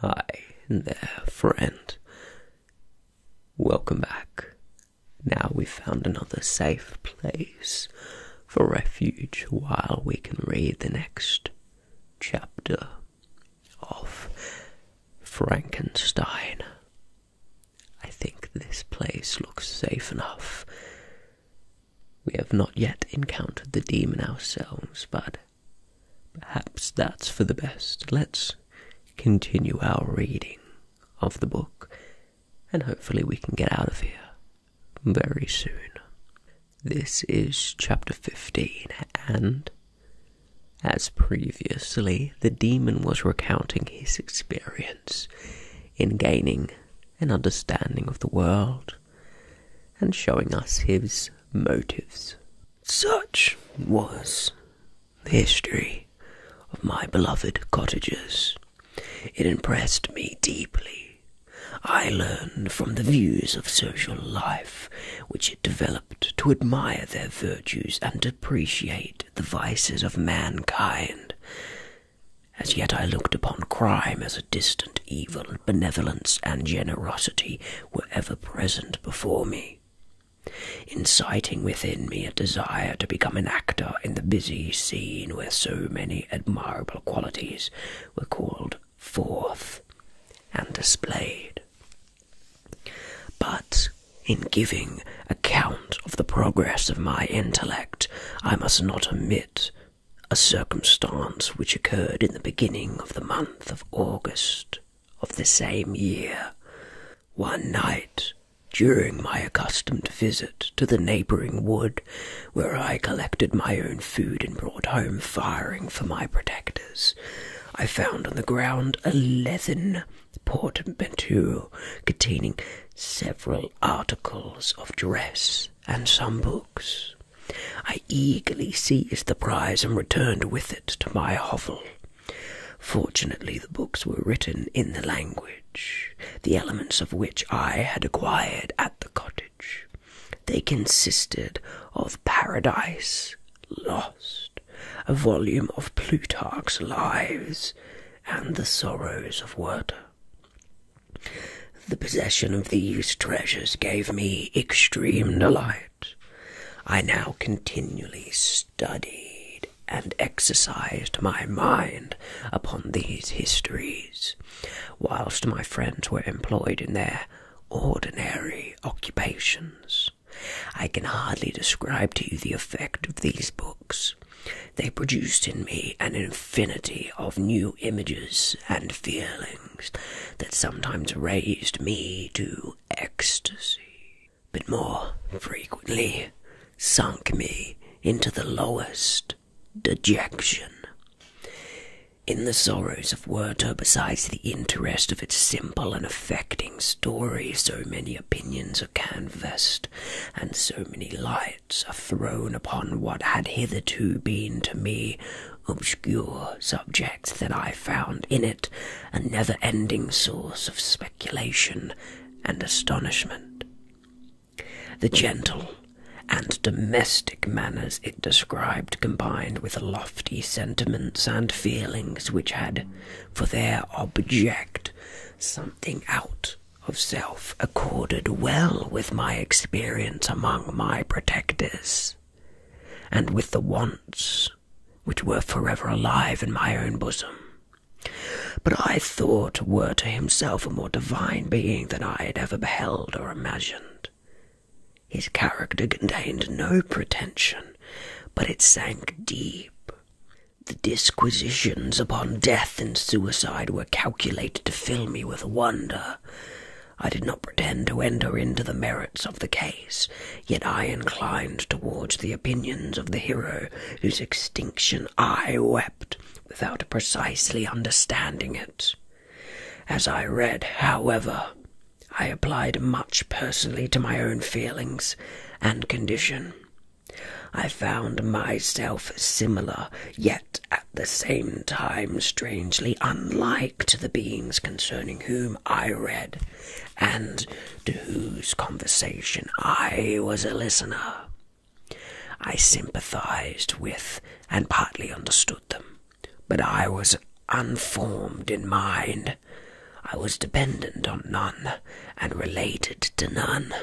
Hi there, friend. Welcome back. Now we've found another safe place for refuge while we can read the next chapter of Frankenstein. I think this place looks safe enough. We have not yet encountered the demon ourselves, but Perhaps that's for the best. Let's continue our reading of the book, and hopefully we can get out of here very soon. This is chapter 15, and as previously, the demon was recounting his experience in gaining an understanding of the world and showing us his motives. Such was the history of my beloved cottagers. It impressed me deeply. I learned from the views of social life which it developed to admire their virtues and depreciate the vices of mankind. As yet, I looked upon crime as a distant evil, benevolence and generosity were ever present before me, inciting within me a desire to become an actor in the busy scene where so many admirable qualities were called forth and displayed. But in giving account of the progress of my intellect, I must not omit a circumstance which occurred in the beginning of the month of August of the same year. One night, during my accustomed visit to the neighbouring wood, where I collected my own food and brought home firing for my protectors, I found on the ground a leathern portmanteau containing several articles of dress and some books. I eagerly seized the prize and returned with it to my hovel. Fortunately, the books were written in the language, the elements of which I had acquired at the cottage. They consisted of Paradise Lost, a volume of Plutarch's Lives, and the Sorrows of Werter. The possession of these treasures gave me extreme delight. I now continually studied and exercised my mind upon these histories, whilst my friends were employed in their ordinary occupations. I can hardly describe to you the effect of these books. They produced in me an infinity of new images and feelings that sometimes raised me to ecstasy, but more frequently sunk me into the lowest dejection. In the sorrows of Werter, besides the interest of its simple and affecting story, so many opinions are canvassed, and so many lights are thrown upon what had hitherto been to me obscure subject that I found in it a never ending source of speculation and astonishment. The gentle and domestic manners it described combined with lofty sentiments and feelings which had for their object something out of self accorded well with my experience among my protectors and with the wants which were forever alive in my own bosom. But I thought were to himself a more divine being than I had ever beheld or imagined. His character contained no pretension, but it sank deep. The disquisitions upon death and suicide were calculated to fill me with wonder, I did not pretend to enter into the merits of the case, yet I inclined towards the opinions of the hero whose extinction I wept without precisely understanding it. As I read, however, I applied much personally to my own feelings and condition. I found myself similar, yet at the same time strangely unlike to the beings concerning whom I read, and to whose conversation I was a listener. I sympathized with and partly understood them, but I was unformed in mind. I was dependent on none and related to none.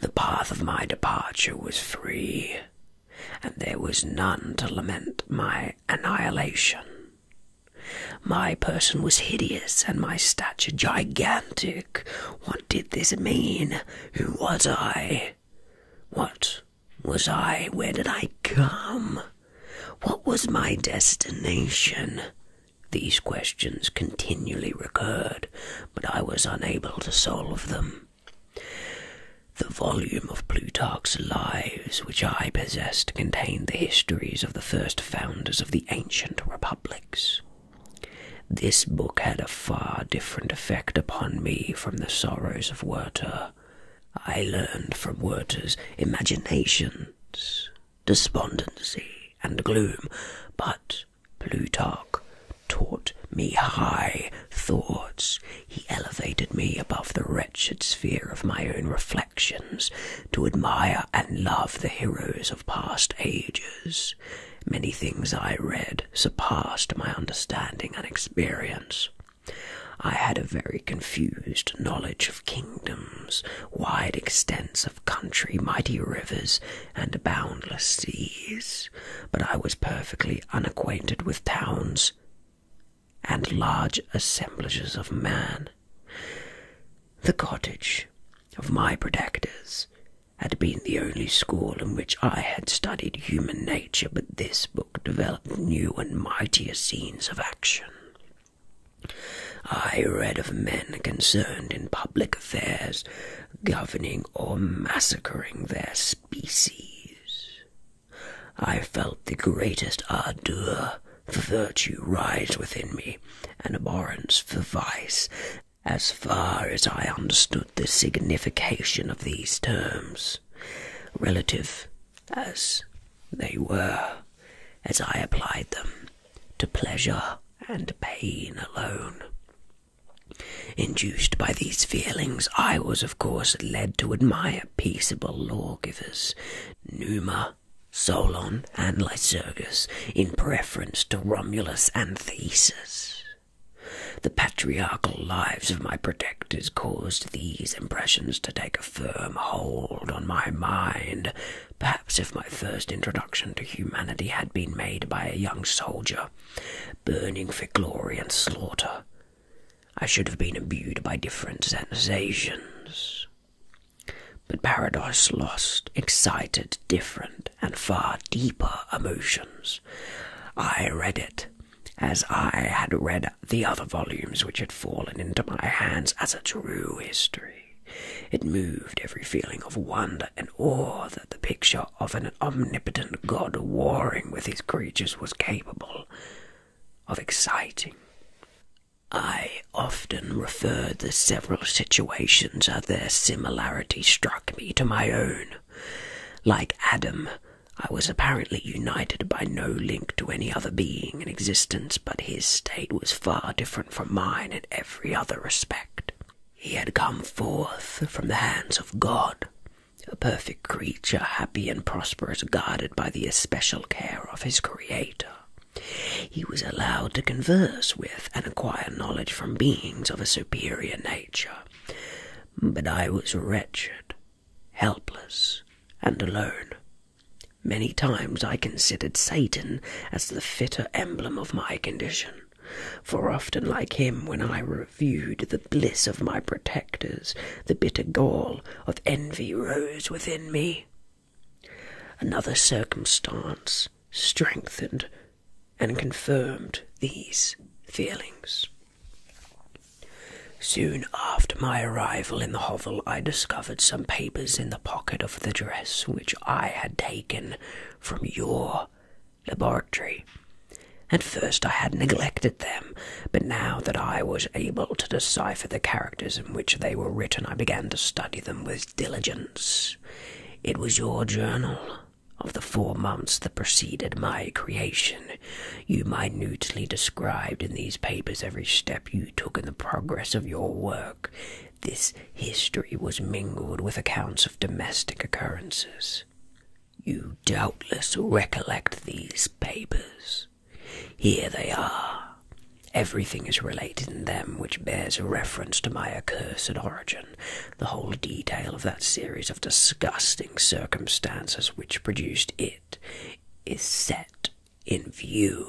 The path of my departure was free, and there was none to lament my annihilation. My person was hideous, and my stature gigantic. What did this mean? Who was I? What was I? Where did I come? What was my destination? These questions continually recurred, but I was unable to solve them. The volume of Plutarch's Lives, which I possessed, contained the histories of the first founders of the ancient republics. This book had a far different effect upon me from the sorrows of Werter. I learned from Werter's imaginations, despondency, and gloom, but Plutarch taught me high thoughts. He elevated me above the wretched sphere of my own reflections to admire and love the heroes of past ages. Many things I read surpassed my understanding and experience. I had a very confused knowledge of kingdoms, wide extents of country, mighty rivers, and boundless seas but I was perfectly unacquainted with towns and large assemblages of men. The cottage of my protectors had been the only school in which I had studied human nature, but this book developed new and mightier scenes of action. I read of men concerned in public affairs, governing or massacring their species. I felt the greatest ardour for virtue rise within me, and abhorrence for vice, as far as I understood the signification of these terms, relative as they were, as I applied them, to pleasure and pain alone. Induced by these feelings, I was, of course, led to admire peaceable lawgivers, Numa, Solon, and Lycurgus, in preference to Romulus and Theseus. The patriarchal lives of my protectors caused these impressions to take a firm hold on my mind. Perhaps if my first introduction to humanity had been made by a young soldier, burning for glory and slaughter. I should have been imbued by different sensations. But Paradise Lost excited different and far deeper emotions. I read it as I had read the other volumes which had fallen into my hands as a true history. It moved every feeling of wonder and awe that the picture of an omnipotent god warring with his creatures was capable of exciting. I often referred the several situations as their similarity struck me to my own. Like Adam, I was apparently united by no link to any other being in existence, but his state was far different from mine in every other respect. He had come forth from the hands of God, a perfect creature, happy and prosperous, guarded by the especial care of his Creator. He was allowed to converse with and acquire knowledge from beings of a superior nature. But I was wretched, helpless, and alone. Many times I considered Satan as the fitter emblem of my condition. For often, like him, when I reviewed the bliss of my protectors, the bitter gall of envy rose within me. Another circumstance strengthened and confirmed these feelings. Soon after my arrival in the hovel, I discovered some papers in the pocket of the dress which I had taken from your laboratory. At first I had neglected them, but now that I was able to decipher the characters in which they were written, I began to study them with diligence. It was your journal of the four months that preceded my creation. You minutely described in these papers every step you took in the progress of your work. This history was mingled with accounts of domestic occurrences, you doubtless recollect these papers. Here they are. Everything is related in them which bears a reference to my accursed origin, the whole detail of that series of disgusting circumstances which produced it is set in view.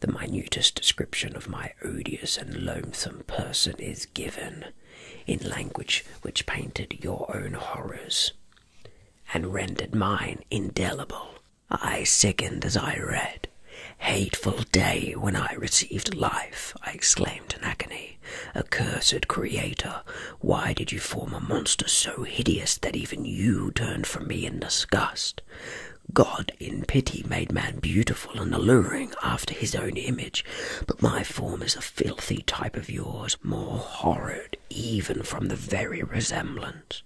The minutest description of my odious and loathsome person is given in language which painted your own horrors and rendered mine indelible. I sickened as I read. Hateful day when I received life, I exclaimed in agony. Accursed creator, why did you form a monster so hideous that even you turned from me in disgust? God in pity made man beautiful beautiful and alluring after his own image, but my form is a filthy type of yours, more horrid even from the very resemblance.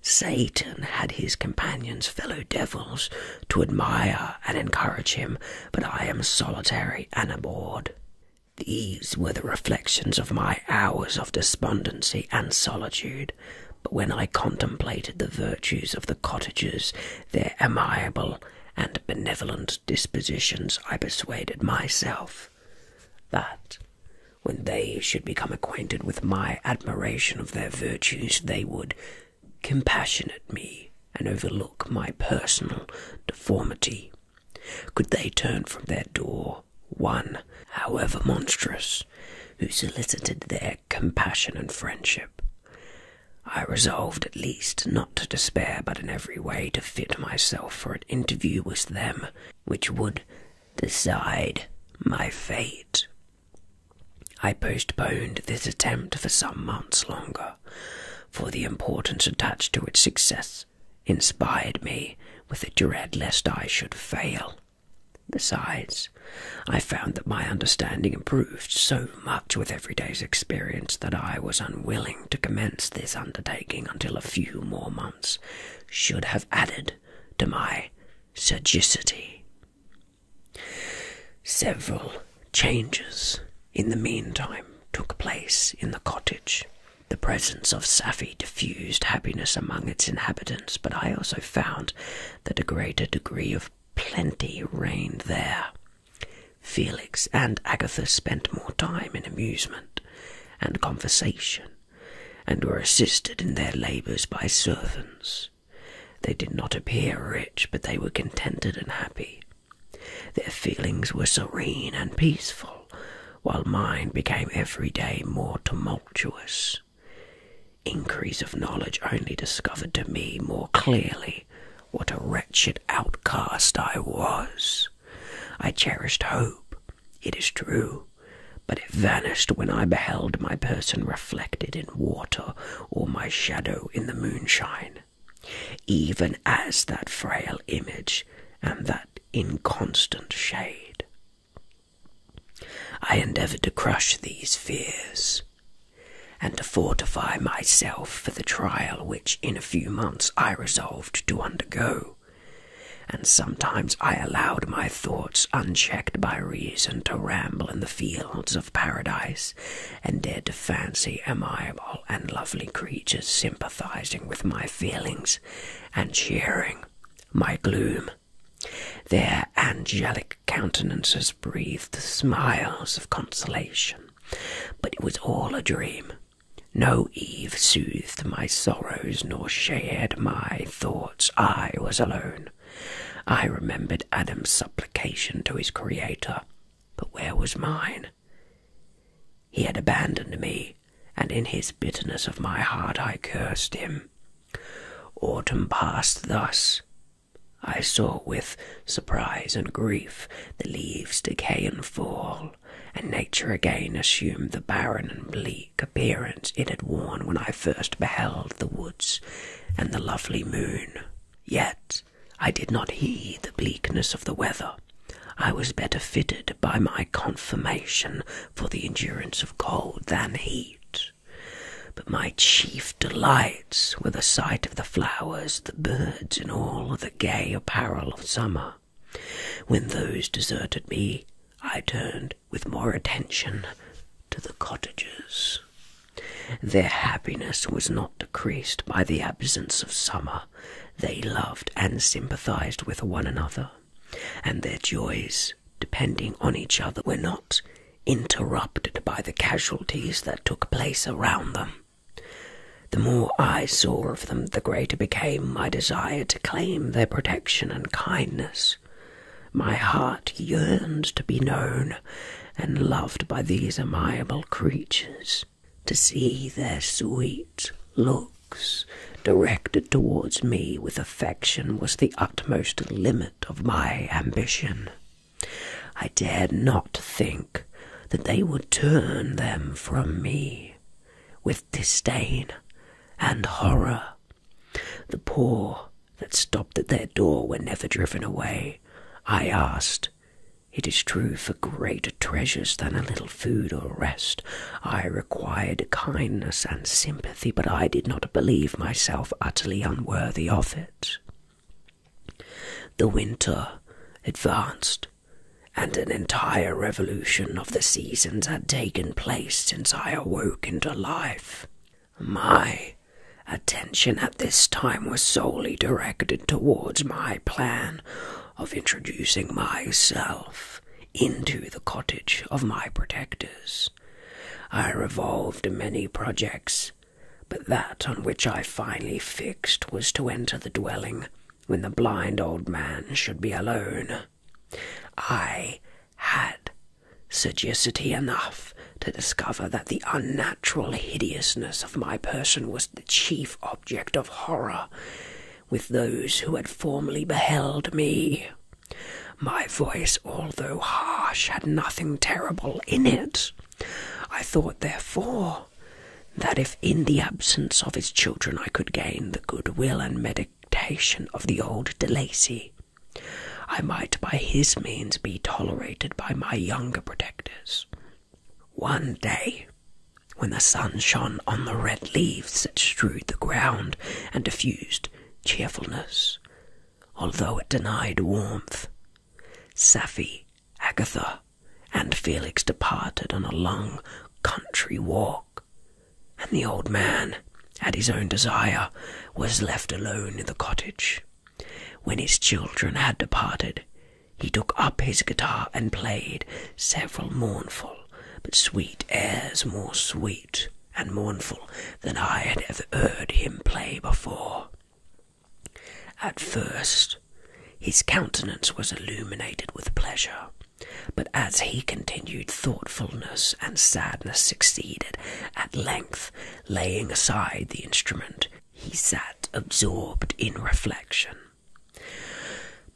Satan had his companions, fellow devils, to admire and encourage him, but I am solitary and abhorred. These were the reflections of my hours of despondency and solitude, but when I contemplated the virtues of the cottagers, their amiable and benevolent dispositions, I persuaded myself that when they should become acquainted with my admiration of their virtues, they would compassionate me and overlook my personal deformity. Could they turn from their door one, however monstrous, who solicited their compassion and friendship? I resolved at least not to despair, but in every way to fit myself for an interview with them, which would decide my fate. I postponed this attempt for some months longer, for the importance attached to its success inspired me with a dread lest I should fail. Besides, I found that my understanding improved so much with every day's experience that I was unwilling to commence this undertaking until a few more months should have added to my sagacity. Several changes in the meantime took place in the cottage. The presence of Safi diffused happiness among its inhabitants, but I also found that a greater degree of plenty reigned there Felix and Agatha spent more time in amusement and conversation, and were assisted in their labours by servants. They did not appear rich, but they were contented and happy. Their feelings were serene and peaceful, while mine became every day more tumultuous. Increase of knowledge only discovered to me more clearly what a wretched outcast I was! I cherished hope, it is true, but it vanished when I beheld my person reflected in water or my shadow in the moonshine. Even as that frail image and that inconstant shade. I endeavoured to crush these fears, and to fortify myself for the trial which in a few months I resolved to undergo. And sometimes I allowed my thoughts, unchecked by reason, to ramble in the fields of paradise, and dared to fancy amiable and lovely creatures sympathizing with my feelings and cheering my gloom. Their angelic countenances breathed smiles of consolation. But it was all a dream. No Eve soothed my sorrows nor shared my thoughts. I was alone. I remembered Adam's supplication to his Creator, but where was mine? He had abandoned me, and in his bitterness of my heart I cursed him. Autumn passed thus, I saw with surprise and grief the leaves decay and fall, and nature again assumed the barren and bleak appearance it had worn when I first beheld the woods and the lovely moon. Yet I did not heed the bleakness of the weather. I was better fitted by my confirmation for the endurance of cold than heat. But my chief delights were the sight of the flowers, the birds, and all the gay apparel of summer. When those deserted me, I turned with more attention to the cottagers. Their happiness was not decreased by the absence of summer. They loved and sympathized with one another, and their joys, depending on each other, were not interrupted by the casualties that took place around them. The more I saw of them, the greater became my desire to claim their protection and kindness. My heart yearned to be known and loved by these amiable creatures, to see their sweet looks directed towards me with affection was the utmost limit of my ambition. I dared not think that they would turn them from me with disdain and horror. The poor that stopped at their door were never driven away. I asked, It is true, for greater treasures than a little food or rest, I required kindness and sympathy, but I did not believe myself utterly unworthy of it. The winter advanced, and an entire revolution of the seasons had taken place since I awoke into life. My attention at this time was solely directed towards my plan of introducing myself into the cottage of my protectors. I revolved many projects but that on which I finally fixed was to enter the dwelling when the blind old man should be alone. I had sagacity enough to discover that the unnatural hideousness of my person was the chief object of horror with those who had formerly beheld me. My voice, although harsh, had nothing terrible in it. I thought, therefore, that if in the absence of his children I could gain the good will and meditation of the old de Lacy, I might by his means be tolerated by my younger protectors. One day, when the sun shone on the red leaves that strewed the ground and diffused cheerfulness, although it denied warmth, Sapphi, Agatha, and Felix departed on a long country walk, and the old man, at his own desire, was left alone in the cottage. When his children had departed, he took up his guitar and played several mournful but sweet airs, more sweet and mournful than I had ever heard him play before. At first, his countenance was illuminated with pleasure, but as he continued, thoughtfulness and sadness succeeded. At length, laying aside the instrument, he sat absorbed in reflection.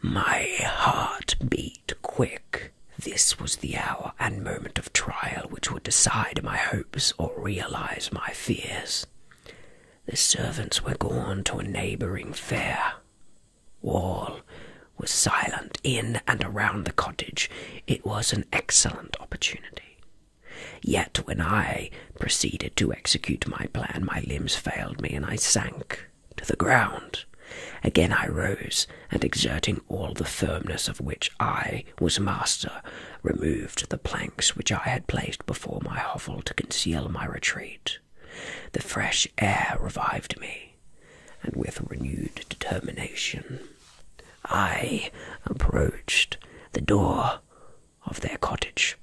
My heart beat quick. This was the hour and moment of trial which would decide my hopes or realize my fears. The servants were gone to a neighbouring fair. All was silent in and around the cottage. It was an excellent opportunity. Yet when I proceeded to execute my plan, my limbs failed me and I sank to the ground. Again I rose, and exerting all the firmness of which I was master, removed the planks which I had placed before my hovel to conceal my retreat. The fresh air revived me, and with renewed determination I approached the door of their cottage.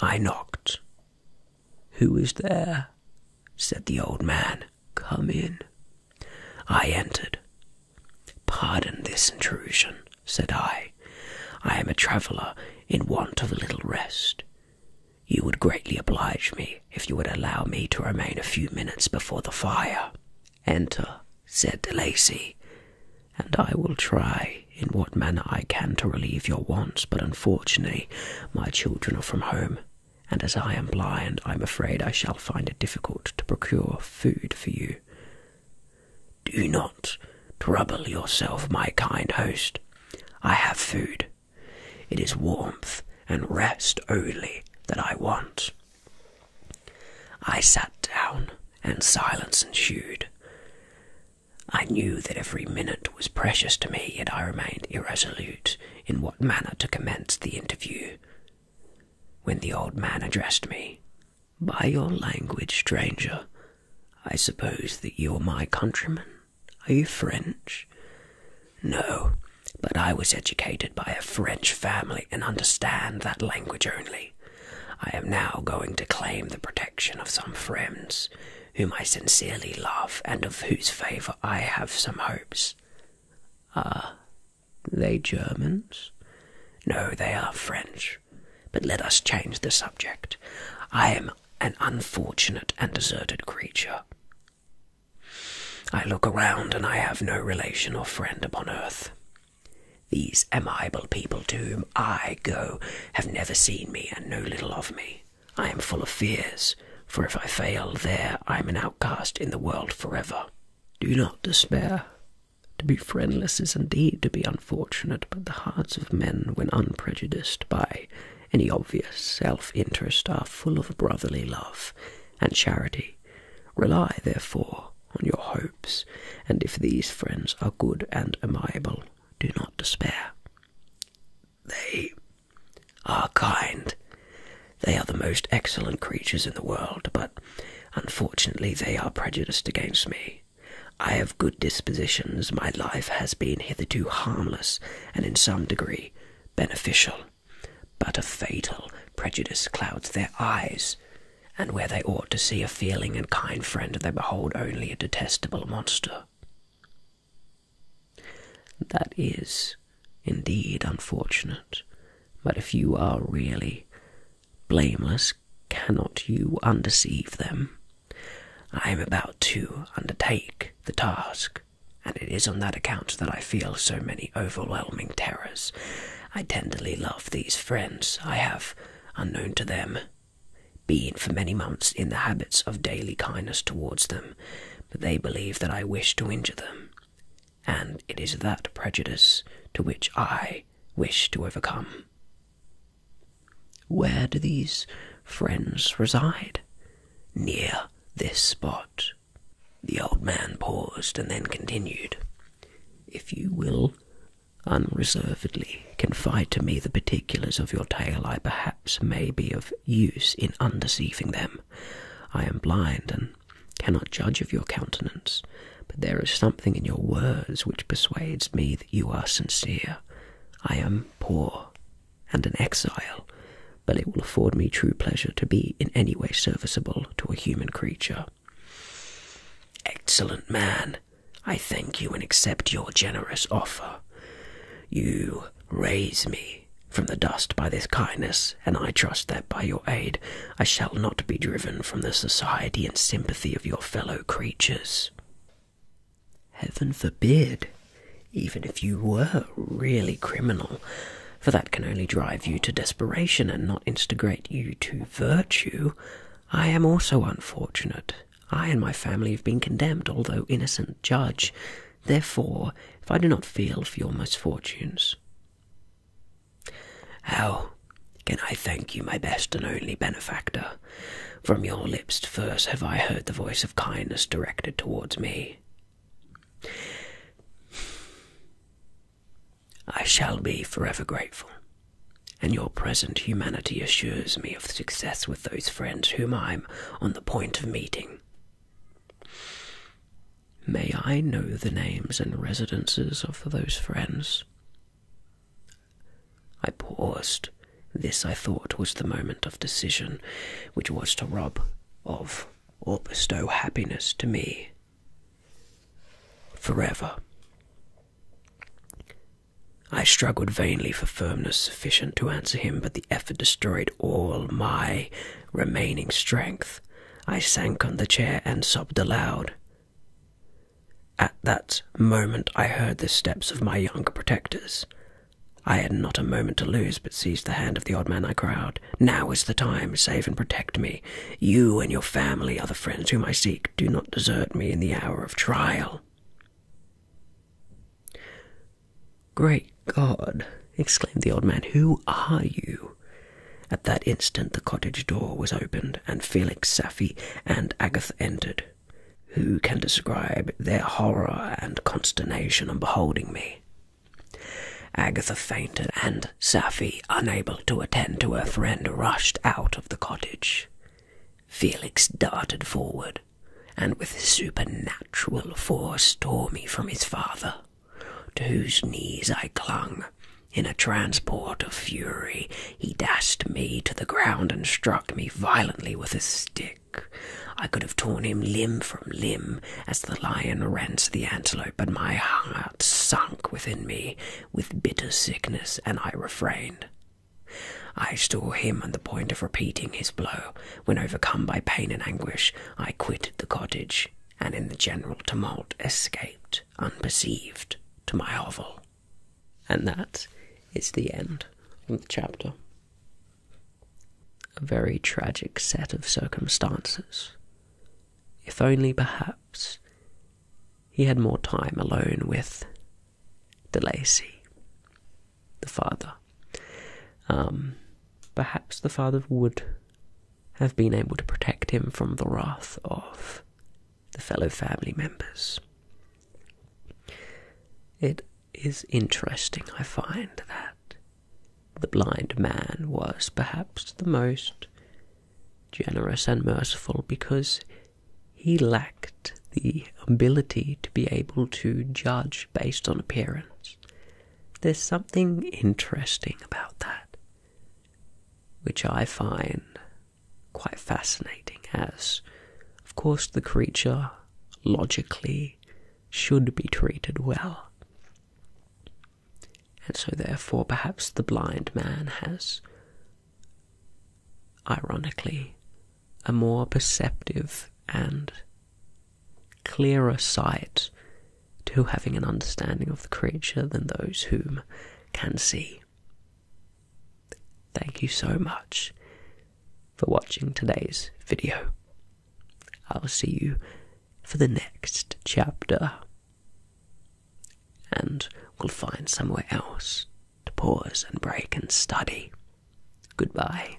I knocked. Who is there? said the old man. Come in. I entered. Pardon this intrusion, said I. I am a traveller in want of a little rest. You would greatly oblige me if you would allow me to remain a few minutes before the fire. Enter, said De Lacy, and I will try in what manner I can to relieve your wants, but unfortunately my children are from home and as I am blind, I am afraid I shall find it difficult to procure food for you. Do not trouble yourself, my kind host. I have food. It is warmth and rest only that I want. I sat down, and silence ensued. I knew that every minute was precious to me, yet I remained irresolute in what manner to commence the interview. When the old man addressed me, By your language, stranger, I suppose that you're my countryman. Are you French? No, but I was educated by a French family and understand that language only. I am now going to claim the protection of some friends whom I sincerely love and of whose favour I have some hopes. Ah, they Germans? No, they are French. But let us change the subject. I am an unfortunate and deserted creature. I look around and I have no relation or friend upon earth. These amiable people to whom I go have never seen me and know little of me. I am full of fears, for if I fail there, I am an outcast in the world forever. Do not despair. To be friendless is indeed to be unfortunate, but the hearts of men, when unprejudiced by any obvious self interest, are full of brotherly love and charity. Rely, therefore, on your hopes, and if these friends are good and amiable, do not despair. They are kind. They are the most excellent creatures in the world, but unfortunately they are prejudiced against me. I have good dispositions, my life has been hitherto harmless, and in some degree beneficial. But a fatal prejudice clouds their eyes, and where they ought to see a feeling and kind friend, they behold only a detestable monster. That is indeed unfortunate, but if you are really blameless, cannot you undeceive them? I am about to undertake the task, and it is on that account that I feel so many overwhelming terrors. I tenderly love these friends. I have, unknown to them, been for many months in the habits of daily kindness towards them, but they believe that I wish to injure them and it is that prejudice to which I wish to overcome. Where do these friends reside? Near this spot. The old man paused and then continued. If you will unreservedly confide to me the particulars of your tale, I perhaps may be of use in undeceiving them. I am blind and man cannot judge of your countenance, but there is something in your words which persuades me that you are sincere. I am poor and an exile, but it will afford me true pleasure to be in any way serviceable to a human creature. Excellent man, I thank you and accept your generous offer. You raise me from the dust by this kindness, and I trust that by your aid I shall not be driven from the society and sympathy of your fellow creatures. Heaven forbid, even if you were really criminal, for that can only drive you to desperation and not instigate you to virtue. I am also unfortunate. I and my family have been condemned, although innocent, judge. Therefore, if I do not feel for your misfortunes, how can I thank you, my best and only benefactor? From your lips first have I heard the voice of kindness directed towards me. I shall be forever grateful, and your present humanity assures me of success with those friends whom I am on the point of meeting. May I know the names and residences of those friends? I paused. This, I thought, was the moment of decision, which was to rob of or bestow happiness to me forever. I struggled vainly for firmness sufficient to answer him, but the effort destroyed all my remaining strength, I sank on the chair and sobbed aloud. At that moment, I heard the steps of my younger protectors. I had not a moment to lose, but seized the hand of the old man. I cried, Now is the time, save and protect me. You and your family are the friends whom I seek. Do not desert me in the hour of trial. Great God! exclaimed the old man. Who are you? At that instant the cottage door was opened, and Felix, Safie, and Agatha entered. Who can describe their horror and consternation on beholding me? Agatha fainted, and Safie, unable to attend to her friend, rushed out of the cottage. Felix darted forward, and with supernatural force tore me from his father to whose knees I clung. In a transport of fury, he dashed me to the ground and struck me violently with his stick. I could have torn him limb from limb as the lion rends the antelope, but my heart sunk within me with bitter sickness, and I refrained. I saw him on the point of repeating his blow, when overcome by pain and anguish, I quitted the cottage, and in the general tumult escaped unperceived to my hovel. And that is the end of the chapter. A very tragic set of circumstances. If only perhaps he had more time alone with De Lacy, the father. Um, perhaps the father would have been able to protect him from the wrath of the fellow family members. It is interesting, I find, that the blind man was perhaps the most generous and merciful because he lacked the ability to be able to judge based on appearance there's something interesting about that, which I find quite fascinating, as, of course, the creature logically should be treated well. And so, therefore, perhaps the blind man has, ironically, a more perceptive and clearer sight to having an understanding of the creature than those whom can see. Thank you so much for watching today's video. I'll see you for the next chapter. And we'll find somewhere else to pause and break and study. Goodbye.